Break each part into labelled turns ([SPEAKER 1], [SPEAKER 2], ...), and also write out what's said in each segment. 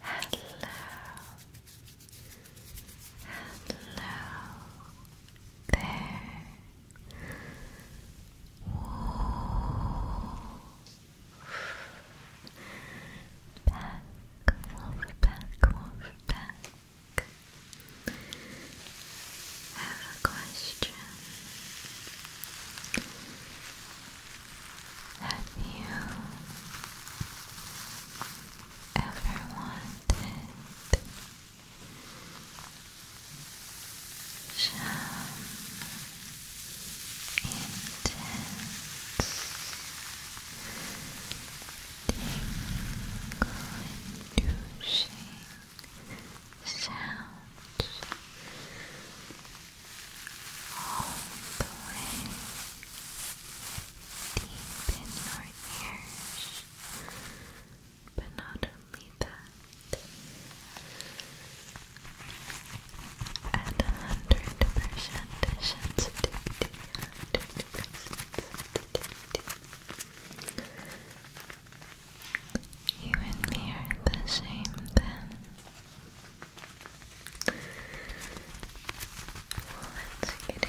[SPEAKER 1] hello there. Back, wolf, back, wolf, back. I have a question that you ever wanted shall intense tingle and sounds all the way deep in your ears. But not only that, at 100 100% sensitivity, you and me are the same then. Well, let's get into those. I have here a foam leather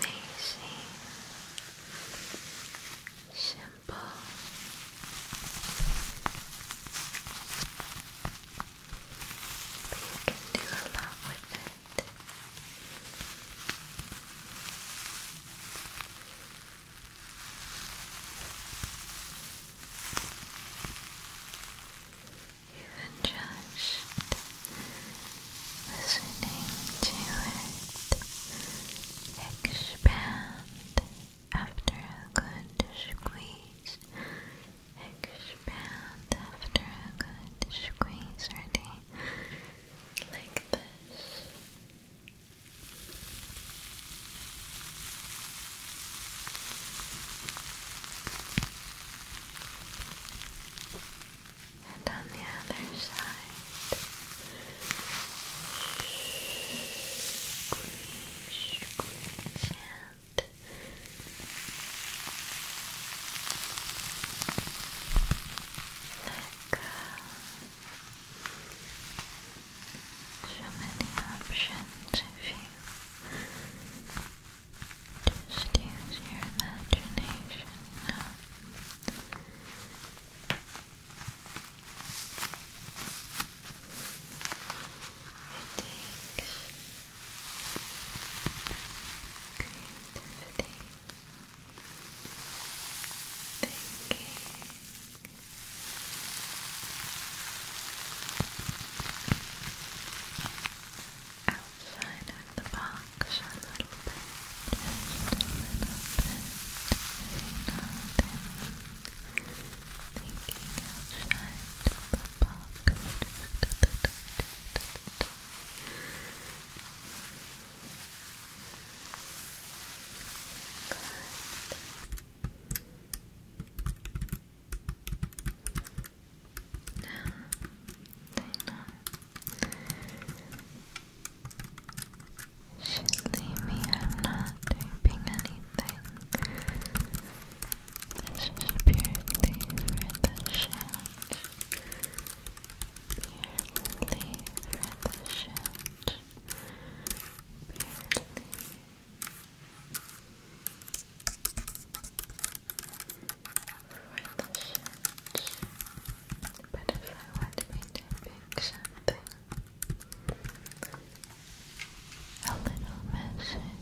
[SPEAKER 1] Amazing, simple. But you can do a lot with it even just listening to it expand after a good squeeze expand after a good squeeze ready like this and on the other side. Squish, and let go. So many options if you just use your imagination It takes creativity, thinking. It outside the box a little bit, just a little bit, you know, thinking outside of the box, should leave me, I'm not taping anything. purely for Purely for Purely relationship. But if I want me to pick something, a little message,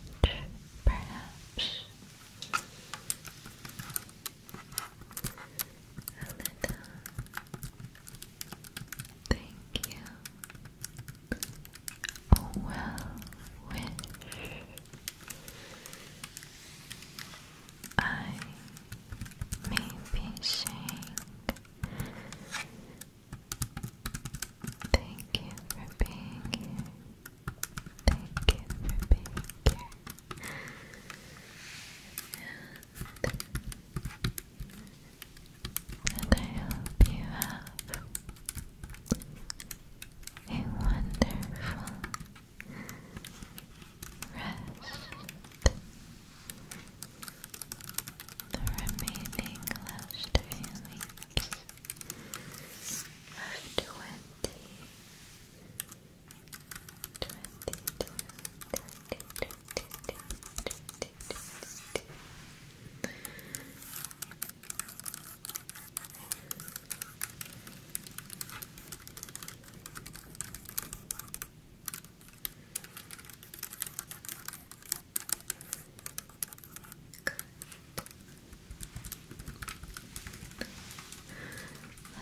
[SPEAKER 1] perhaps. A little thank you well, wish I may be thank you for being here. Thank you for being here. and I hope you have a wonderful rest. The remaining last feelings of twenty, twenty-two, twenty-two, twenty-two, twenty-two,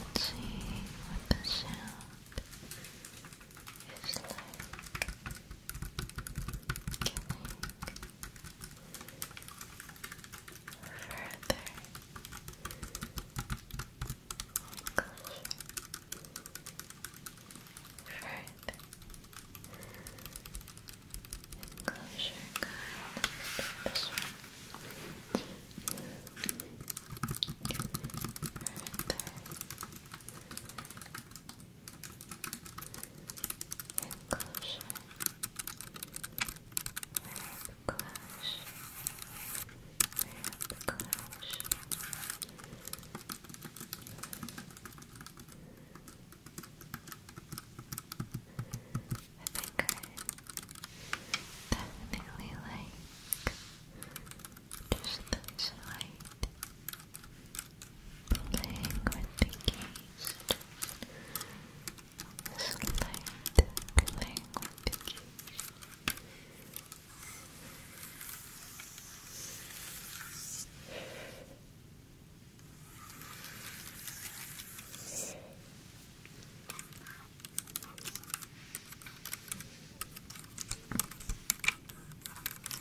[SPEAKER 1] Let's see what the sound is like further. Oh gosh. Further. And close your gut. This one. Further enclosure Close. Close. I think I definitely like just this light playing with the keys. Just playing, playing with the keys.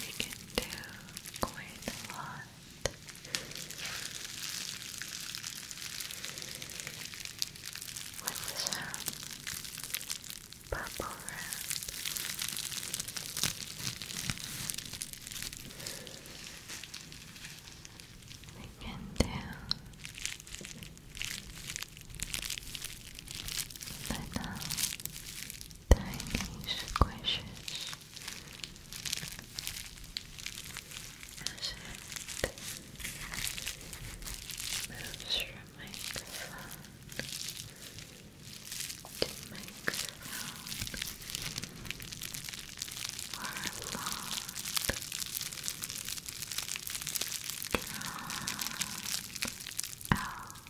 [SPEAKER 1] We can do quite a lot. With some bubble wrap. We can do little tiny squishes as it moves from microphone to microphone or long drawn out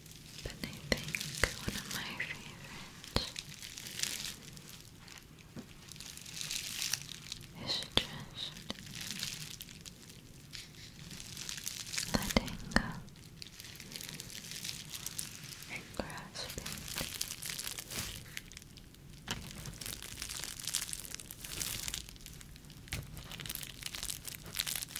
[SPEAKER 1] but I think one of my favorites is just letting go and grasping.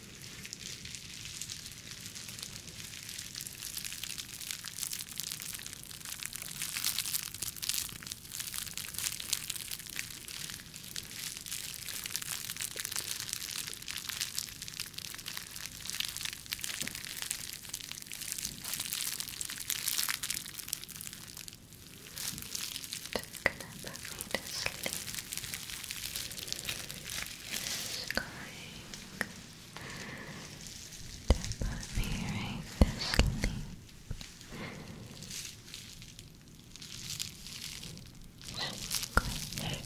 [SPEAKER 1] Just gonna put me to sleep is going to put me right to sleep. Squish. Squish. Squish. Squish. Squish.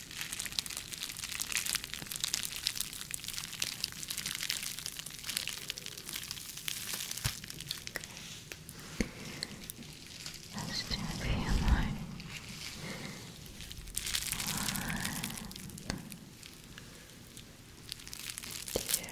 [SPEAKER 1] Okay. Let's do a few more. One. Two. Three.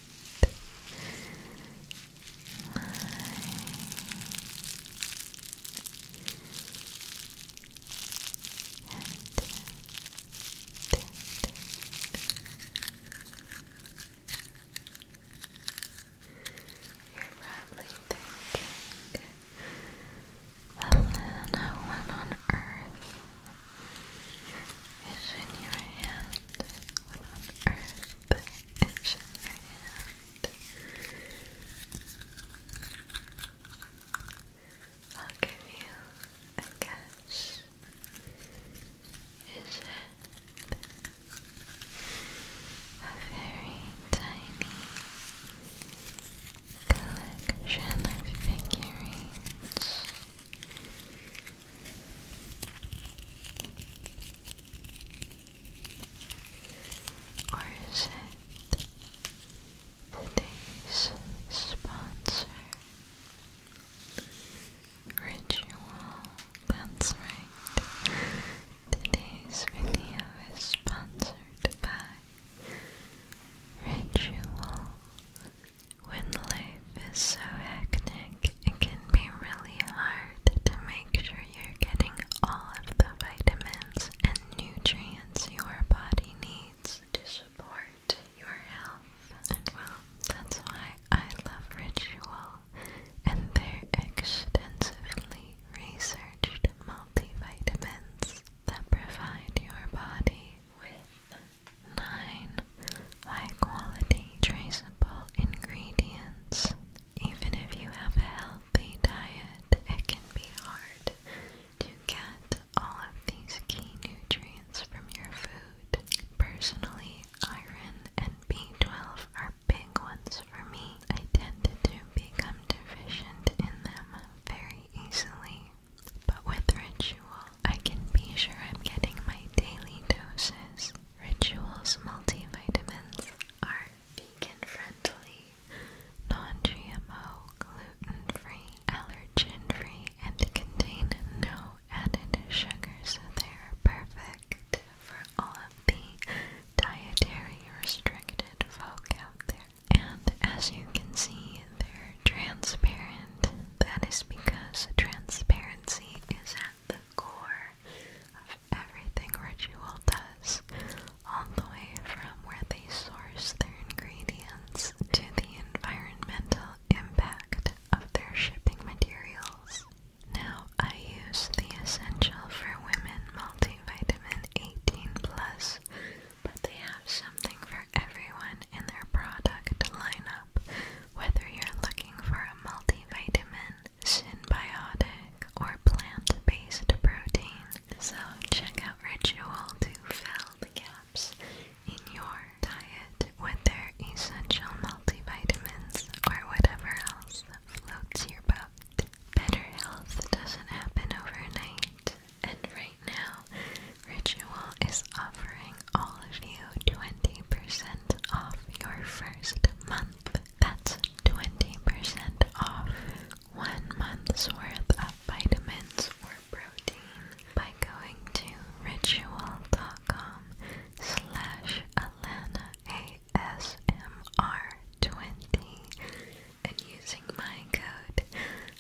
[SPEAKER 1] probably thinking, Elena, what on earth it's in your hand? What on in your hand? I'll give you a guess. Is it a very tiny collection of figurines? Or is it today's sponsor? Ritual. That's Today's video is sponsored by Ritual when life is so hectic, it can be really hard to make sure you're getting all of the vitamins and nutrients your body needs to support your health. And well, that's why I love Ritual and their extensively researched multivitamins that provide your body with 9. High quality, traceable ingredients. Even if you have a healthy diet, it can be hard to get all of these key nutrients from your food. Personally, iron and B12 are big ones for me. I tend to become deficient in them very easily but with Ritual, I can be sure I'm getting my daily doses. Ritual's multivitamins are vegan friendly, non GMO, gluten free, allergen free, and contain no added sugars. so they're perfect for all of the dietary restricted folk out there. And as you can see, they're transparent, that is because transparency is at the core of everything Ritual does, all the way from where they source their ingredients to the environmental impact of their shipping materials. Now, I use the Essential for Women Multivitamin 18 Plus, but they have something for everyone in their product lineup, whether you're looking for a multivitamin, synbiotic, or plant-based protein. So check out Ritual to fill the gaps in your diet with their essential multivitamins or whatever else floats your boat. Better health doesn't happen overnight, and right now, Ritual is offering all of you 20% off your first month. That's 20% off one month's worth of vitamins or protein by going to ritual.com slash Alana 20 and using my code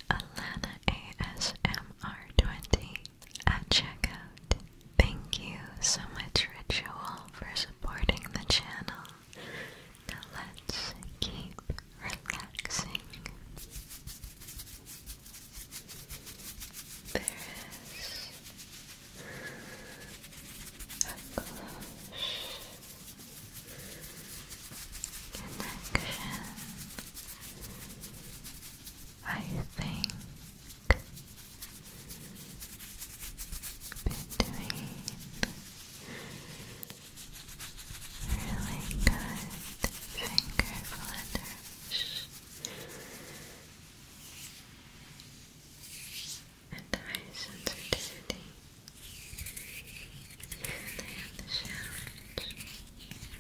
[SPEAKER 1] Alana 20 at checkout. Thank you so much, Ritual, for supporting the channel. let's keep relaxing. There is a close connection I think between really good finger flutters and high sensitivity and they have the challenge it allows you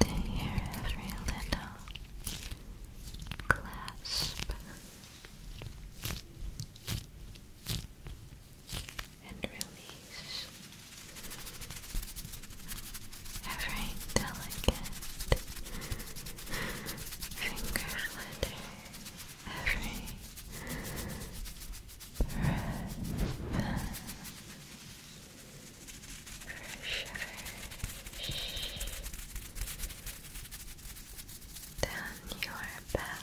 [SPEAKER 1] they hear every little clasp and release every delicate finger flutter, every Fresh, fresh. down your back.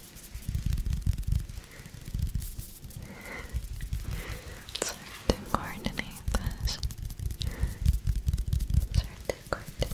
[SPEAKER 1] It's hard to coordinate this. It's to coordinate.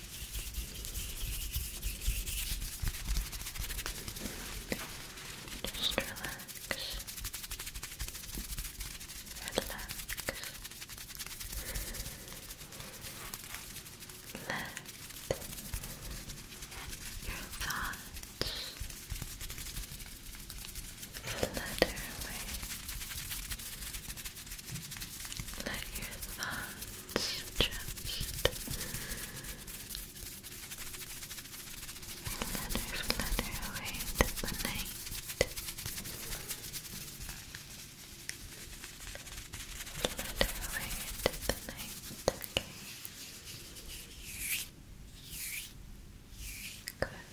[SPEAKER 1] Just relax. Relax. Let your thoughts flutter away. Let your thoughts Flutter, flutter away to the night Flutter away to the night, Good.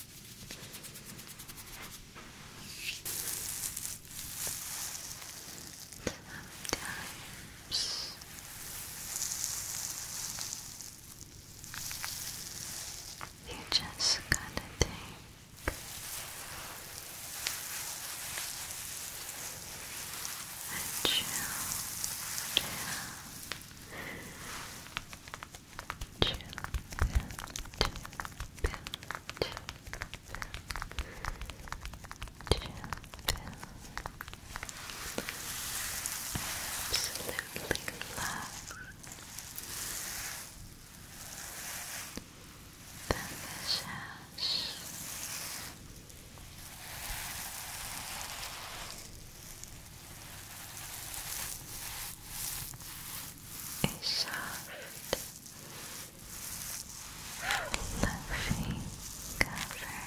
[SPEAKER 1] Sometimes you just gotta think and chill absolutely love the massage a soft, fluffy cover,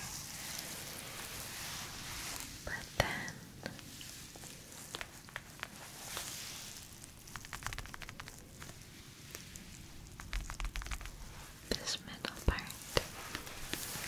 [SPEAKER 1] but then this middle part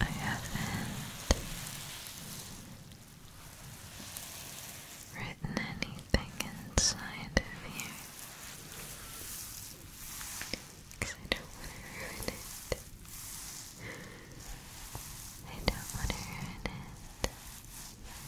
[SPEAKER 1] I haven't written anything inside of here I don't want to ruin it. I don't want to ruin it.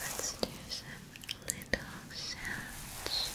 [SPEAKER 1] Let's do some little sounds.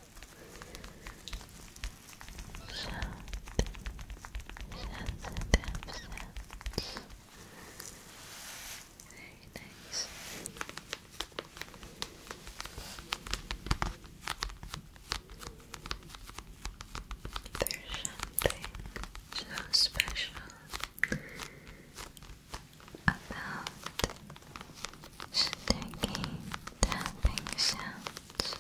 [SPEAKER 1] sensitive sense. nice. There's something so special about sticky tapping sounds.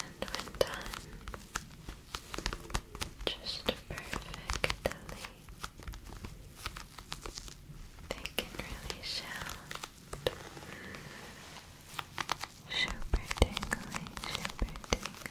[SPEAKER 1] And when done, just perfectly, they can really sound super tingly, super tingly.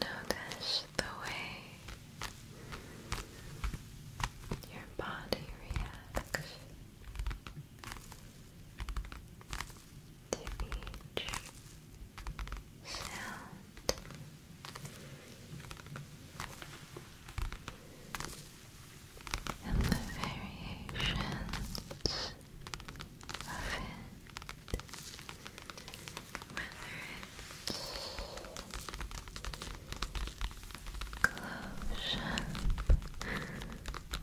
[SPEAKER 1] Notice the way your body reacts to each sound. And the variations of it, whether it's close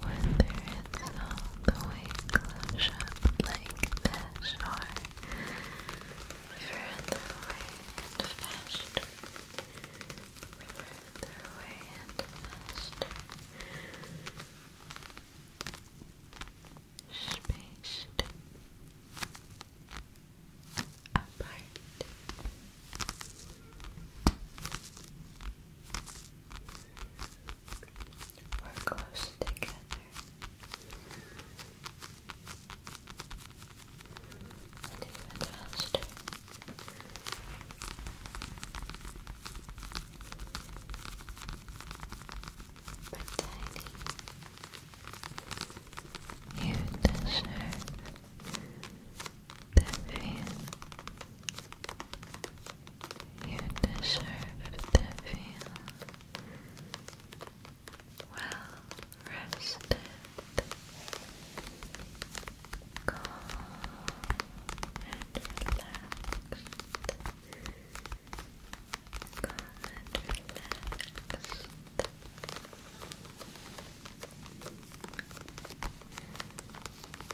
[SPEAKER 1] whether it's all the way close up like this or further away and faster further away and faster spaced apart we're close together. Even faster. But you deserve the feeling. You deserve to feel well rested, calm and relaxed. Calm and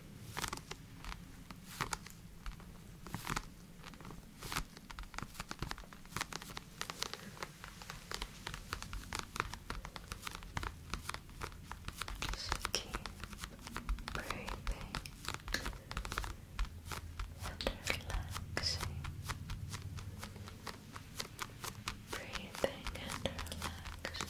[SPEAKER 1] Just keep breathing relaxing. Breathing and relaxing.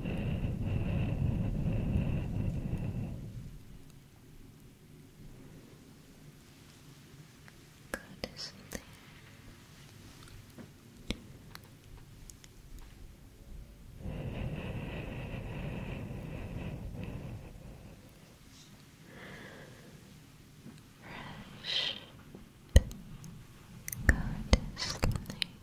[SPEAKER 1] God is there. Fresh God is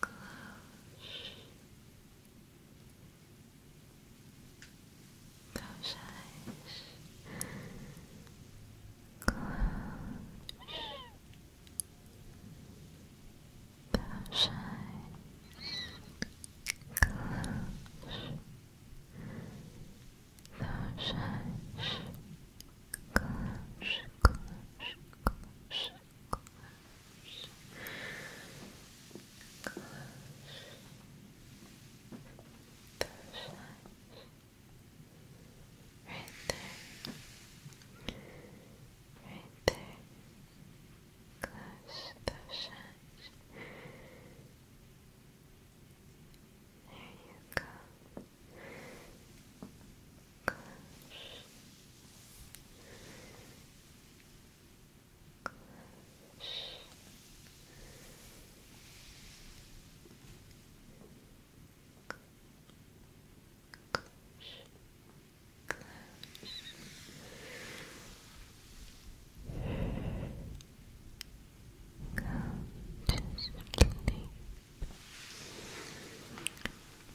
[SPEAKER 1] Close. Those eyes. Close. Those eyes. Close. Those eyes. Close, close, close close, close, those eyes, right there, right there, close those eyes, there you go gosh. Gosh. Gosh. Gosh. Go to sleep.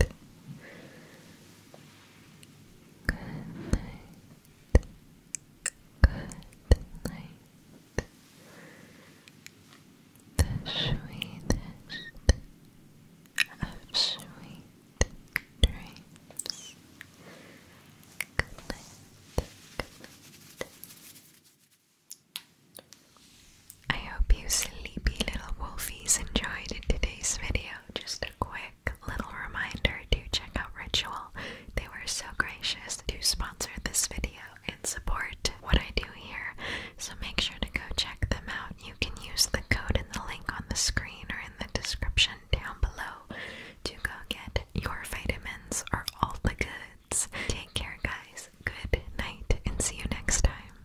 [SPEAKER 1] night. Good night. Good night. The sweetest of sweet dreams. Good night. Good night. I hope you sleepy little wolfies enjoyed today's video. Just a quick little reminder to check out Ritual. They were so gracious to sponsor this video and support what I do here, so make sure to go check them out. You can use the code in the link on the screen or in the description down below to go get your vitamins or all the goods. Take care, guys. Good night, and see you next time.